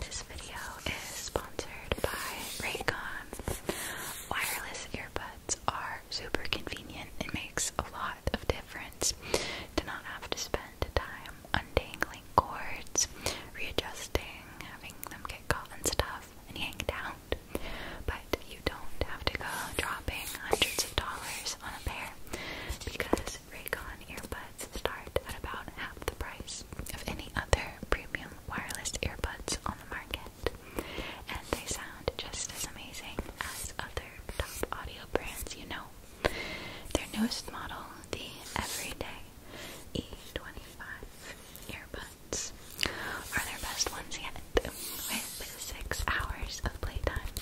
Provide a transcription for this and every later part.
This video is sponsored by Raycon. Wireless earbuds are super convenient. It makes a lot of difference to not have to spend time undangling cords, readjusting, having them get caught in stuff and yanked out. But you don't have to go dropping hundreds of dollars on a pair because Raycon earbuds buds start at about half the price of any other premium wireless earbuds on the market, and they sound just as amazing as other top audio brands you know. Their newest model, the Everyday E25 earbuds, are their best ones yet, with six hours of playtime,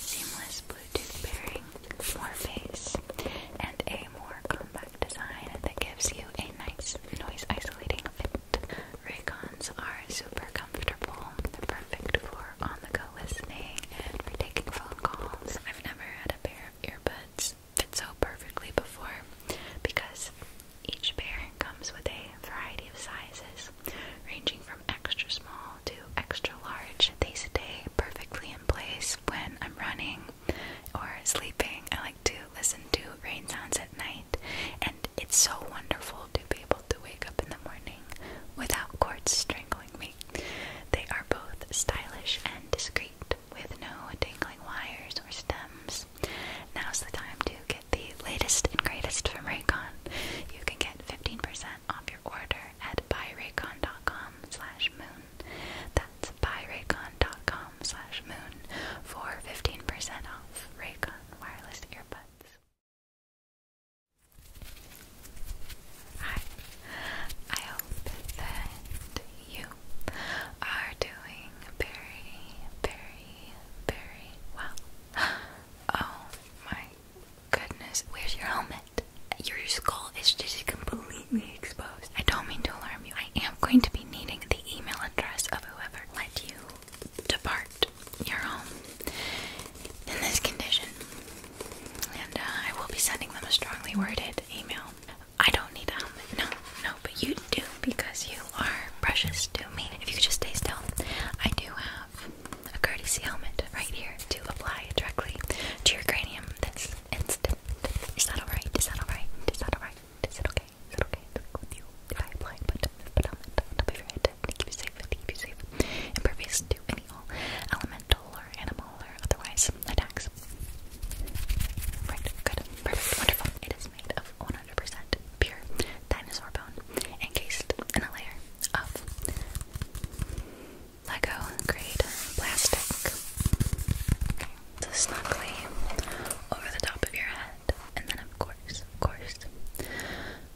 seamless Bluetooth pairing, more bass, and a more compact design that gives you a nice noise isolating fit. Raycons are super comfortable. they perfect for on-the-go listening and for taking phone calls. I've never had a pair of earbuds fit so perfectly before because each pair comes with a variety of sizes, ranging from extra small to extra large. They stay perfectly in place when I'm running or sleeping. I like to listen to rain sounds at night, and it's so wonderful to be able to wake up in the morning without cords strangling me. They are both stylish and discreet, with no dangling wires or stems. Now's the time to get the latest and greatest from Raycon. You can get 15% off your order at buyraycon.com slash moon Raycon. That's buyraycon.com slash moon for 15% off Raycon wireless earbuds. Hi, I hope that you are doing very, very, very well. Oh my goodness, where's your helmet? Your skull is just completely exposed. I don't mean to alarm you. I am going to be needing the email address of whoever let you depart your home in this condition. And uh, I will be sending them a strongly worded email. I don't need a helmet. No, no, but you do because you are precious to me. If you could just stay still, I do have a courtesy helmet right here to apply directly to your cranium. That's instant. Is that alright? Is that alright? Is that alright? Is it okay? Is it okay? Is it okay with you? If I apply but put on top of your head to keep you safe, to keep you safe, impervious to any all elemental or animal or otherwise attacks. Right, good, perfect, wonderful. It is made of 100% pure dinosaur bone, encased in a layer of Lego grade plastic so snugly over the top of your head. And then, of course, of course, I'm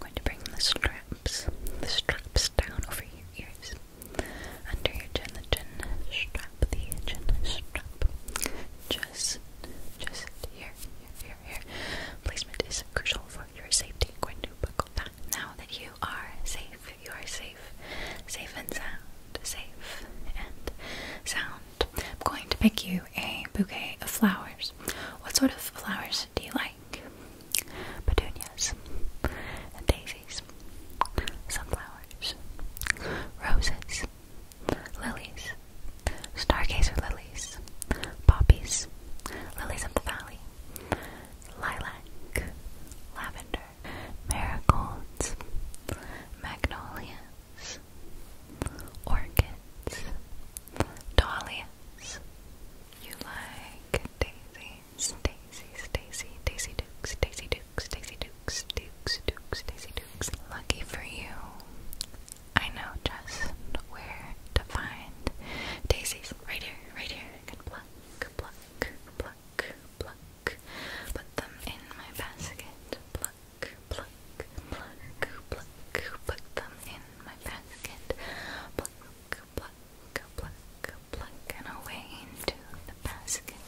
going to bring the straps, the straps down over your ears, under your chin, the chin strap, the chin strap, just, just here, here, here, Placement is crucial for your safety. i going to buckle that now that you are safe. You are safe. Safe and sound. Safe and sound. I'm going to pick you a bouquet of flowers. What sort of flowers do you like? Petunias daisies, sunflowers, roses, lilies, stargazer lilies, poppies, lilies of the valley, lilac, lavender, marigolds, magnolias, orchids, dahlias. You like daisies, daisies, daisy, daisy dukes, daisy dukes, daisy dukes, dukes, dukes, daisy dukes. Lucky for you, I know just where to find daisies. Right here, right here. I can pluck, pluck, pluck, pluck, put them in my basket, pluck, pluck, pluck, pluck, put them in my basket, pluck, pluck, pluck, pluck, and away into the basket,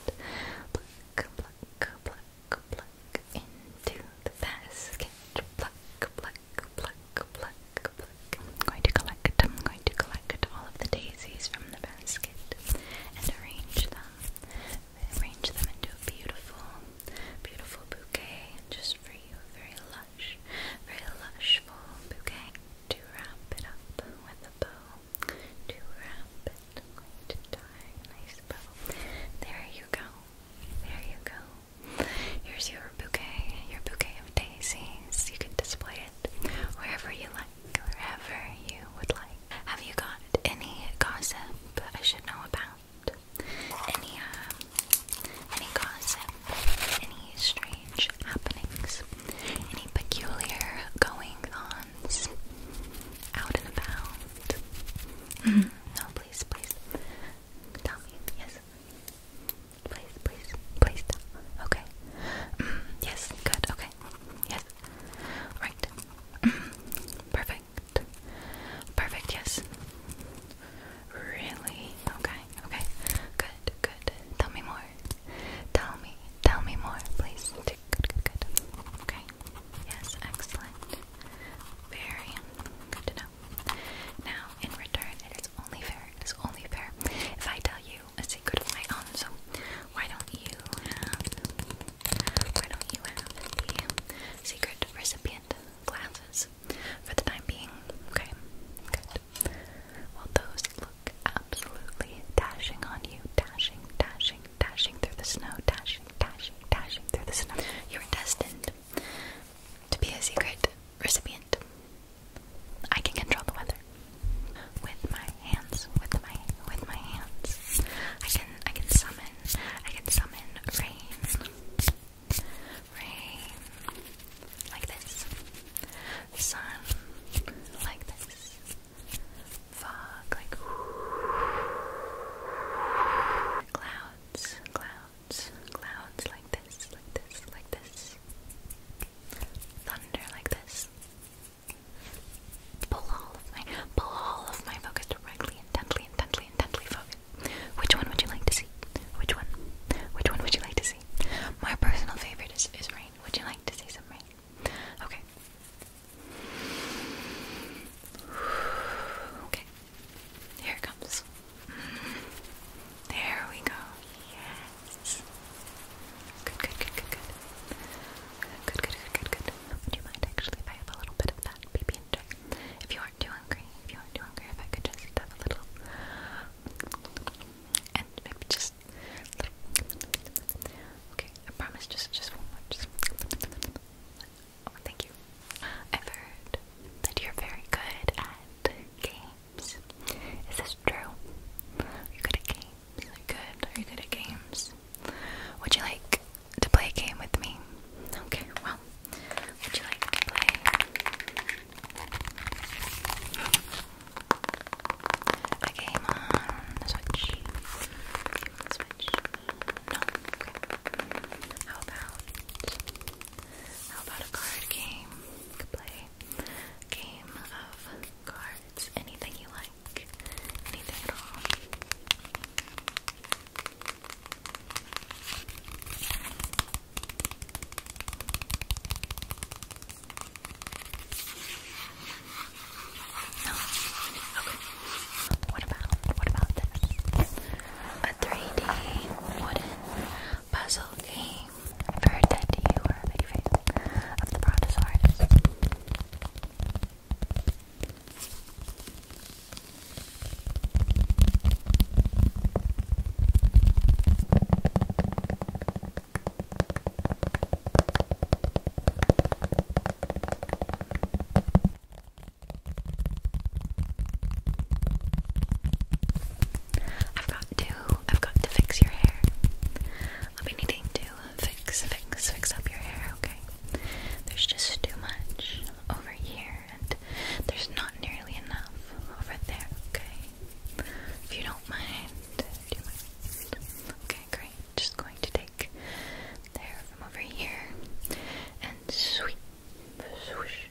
pluck, pluck, pluck, pluck, into the basket, pluck, pluck, pluck, pluck, pluck. I'm going to collect, I'm going to collect all of the daisies from the basket and arrange them arrange them into a beautiful, beautiful bouquet just for you. very lush, very lush bouquet. To wrap it up with a bow. To wrap it. i a nice bow. There you go. There you go. Here's your bouquet, your bouquet of daisies. You can display it wherever you like, wherever you would like. Have you got any gossip I should know about? Any um, any gossip? Any strange happenings? Any peculiar going on Out and about? Mm No, please, please. Tell me, yes. Please, please, please. Tell. Okay. Mm, yes, good. Okay. Yes. Right. Perfect. Perfect. Yes. Really? Okay. Okay. Good. Good. Tell me more. Tell me. Tell me more, please. Good. Good. Good. Okay. Yes. Excellent. Very good to know. Now, in return, it is only fair. It is only fair if I tell you a secret of my own. So, why don't you why don't you have the secret recipient glasses for the time being? Okay, good. Well, those look absolutely dashing on you. Dashing, dashing, dashing through the snow. Dashing, dashing, dashing through the snow. You're destined to be a secret recipient. I can control the weather with my hands. With my with my hands, I can I can summon I can summon rain. Rain like this. Sun like this. Fog like clouds, clouds, clouds like this, like this, like this. Thunder like this. Pull all of my pull all of my focus directly, intently, intently, intently focus. Which one would you like to see? Which one? Which one would you like to see? My personal favorite is, is rain. Would you like to see some rain? Okay. Okay. Here it comes. There we go. Yes. Good, good, good, good, good. Good, good, good, good, good. Would you mind actually if I have a little bit of that pb If you aren't too hungry, if you aren't too hungry, if I could just have a little, and maybe just Okay, I promise. Just, just Just. Oh, thank you. i heard that you're very good at games. Is this true? Are good at games? games? Good. Are you good at games? Would you like to play a game with me? Okay, well, would you like to play? A game on Switch? Game Switch? No? How about, how about a card game? play game of cards, anything you like. Okay. What about what about A 3D wooden puzzle game for a tattoo or a big face of the brontosaurus. I've got to, I've got to fix your hair. I'll be needing to fix, fix, fix up your hair, okay? There's just too much over here, and there's not nearly enough over there, okay? If you don't mind, do you mind? Okay, great. Just going to take the hair from over here and sweep, swoosh,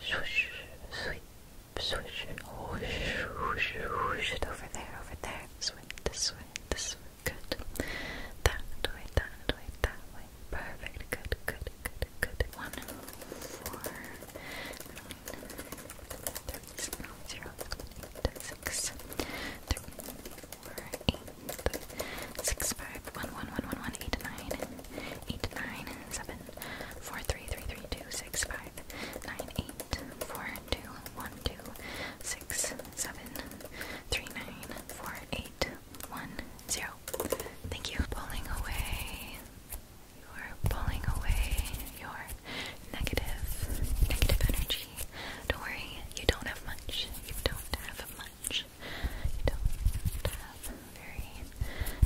swoosh, sweep. Switch, whoosh, whoosh, whoosh it over there, over there. Switch, switch, switch, Good. That way, that way, that way. Perfect. Good, good, good, good. One, four, nine, three, zero, eight, six, three, four, eight, six, five, one, one, one, one, one, eight, nine, eight, nine, seven, four, three, three, three, two, six, five, nine, eight, four, two, one, two, six six seven three nine four eight one zero. Thank you. Pulling away. You're pulling away your negative, negative energy. Don't worry, you don't have much. You don't have much. You don't have very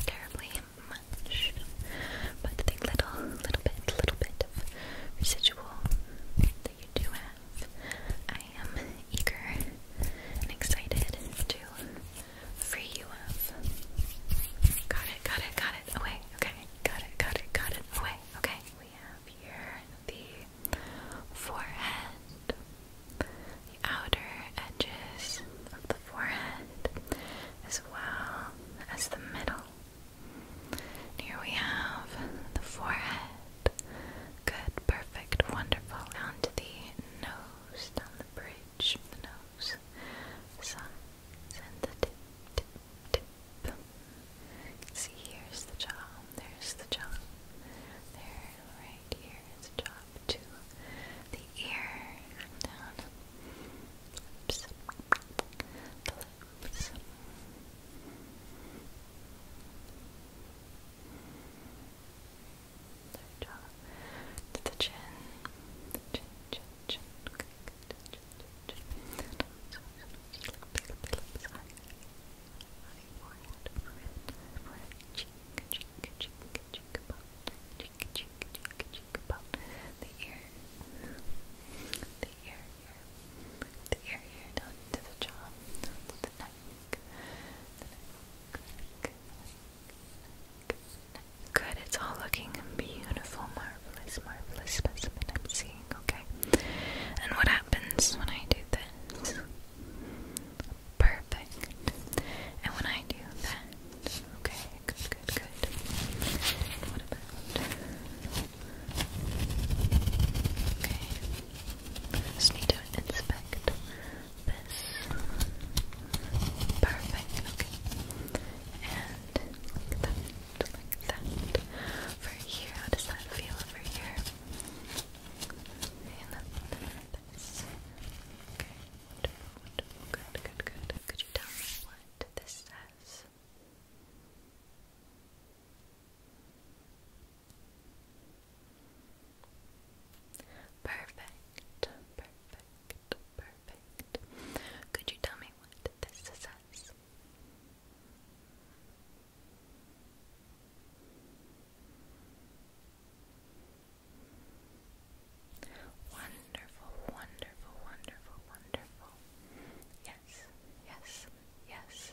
terribly much. But the little, little bit, little bit of residual that you do have. I am eager and excited to free you of. Got it, got it, got it, away, okay. Got it, got it, got it, away, okay. We have here the forehead, the outer edges of the forehead, as well as the middle. here we have the forehead Good, perfect, wonderful. Down to the nose, down the bridge, the nose. Sun, and the tip, tip, tip. See, here's the jaw, there's the jaw. There, right here is the jaw to the ear, down, lips, the lips relax. So to the chin. Chin, chin, chin. Okay, good. Chin, chin, chin. The ear. The ear. Good, it's all looking beautiful, marvelous, marvelous specimen I'm seeing, okay? And what happens when I do this? Perfect. And when I do that, okay, good, good, good. What about? Okay, just need to inspect this. Perfect, And like that, like that. For here, how does that feel over here? And then this. Okay. Wonderful, good, good, good. Could you tell me what this says? Perfect, perfect, perfect. Could you tell me what this says? Wonderful, wonderful, wonderful, wonderful. Yes, yes, yes.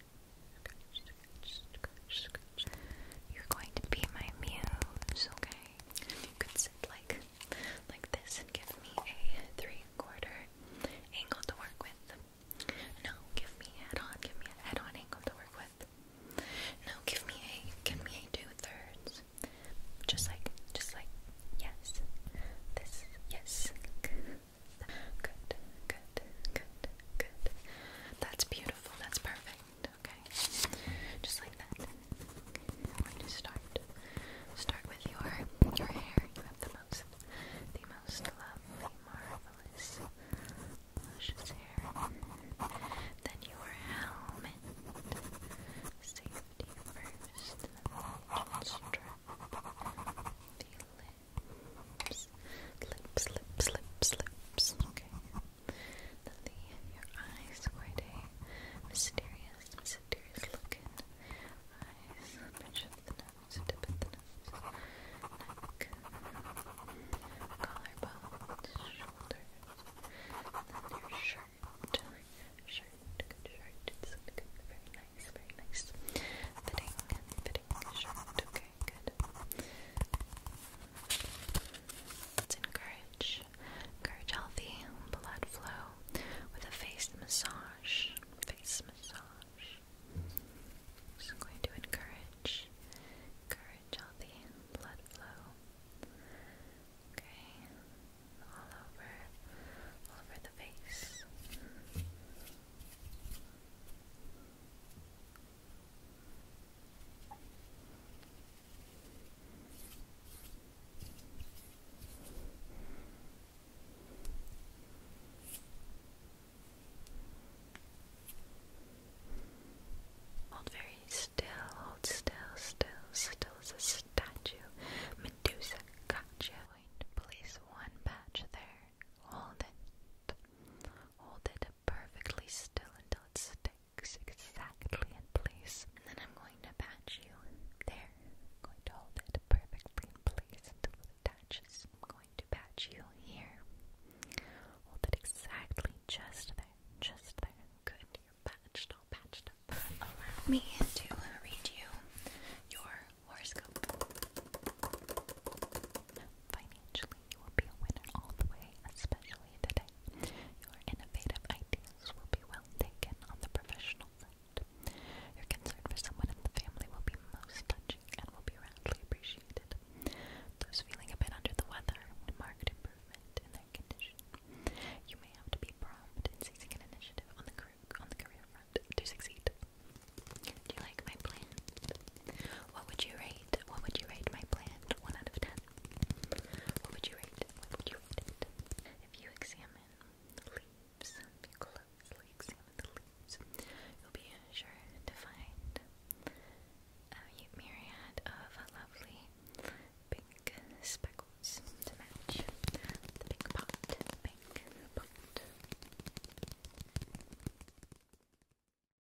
You're going to be my muse, okay? You could sit like like this and give me a three-quarter angle to work with. No, give me head on, give me a head on angle to work with. No, give me a give me a two-thirds. Just like just like yes. This yes. Good, good, good, good. That's beautiful that's perfect. Okay. Just like that. I'm going to start. Start with your your hair. You have the most the most lovely, marvelous, luscious hair. Then your helmet. Safety first. Just strap the lips lips, lips, lips, lips. Okay. The, your eyes, quite a mysterious, mysterious looking eyes. Pinch the nose, tip of the nose, neck, collarbone, shoulders, then your shirt. Shirt, good shirt. It's good, very nice, very nice. Fitting, fitting shirt. Okay good. Let's encourage, encourage healthy blood flow with a face massage. Face massage. Just going to encourage, encourage healthy blood flow. Okay, all over, all over the face. Hold very still, hold still, still, still as a statue. Medusa, gotcha. Place one patch there. Hold it. Hold it perfectly still until it sticks exactly in place. And then I'm going to patch you there. going to hold it perfectly in place until it attaches. I'm going to patch you here. Hold it exactly just there. Just there. Good. You're patched, all patched up. Allow me to read you your horoscope. Financially, you will be a winner all the way, especially today. Your innovative ideas will be well taken on the professional front. Your concern for someone in the family will be most touching and will be roundly appreciated. Those feeling a bit under the weather would mark improvement in their condition. You may have to be prompt in seizing an initiative on the, career, on the career front to succeed. Do you like my plan? What would you rate? What would you rate my plant? One out of ten. What would you rate? What would you rate it? If you examine leaves, if you closely examine the leaves, you'll be sure to find a myriad of lovely pink speckles to match the big pot. Pink pot.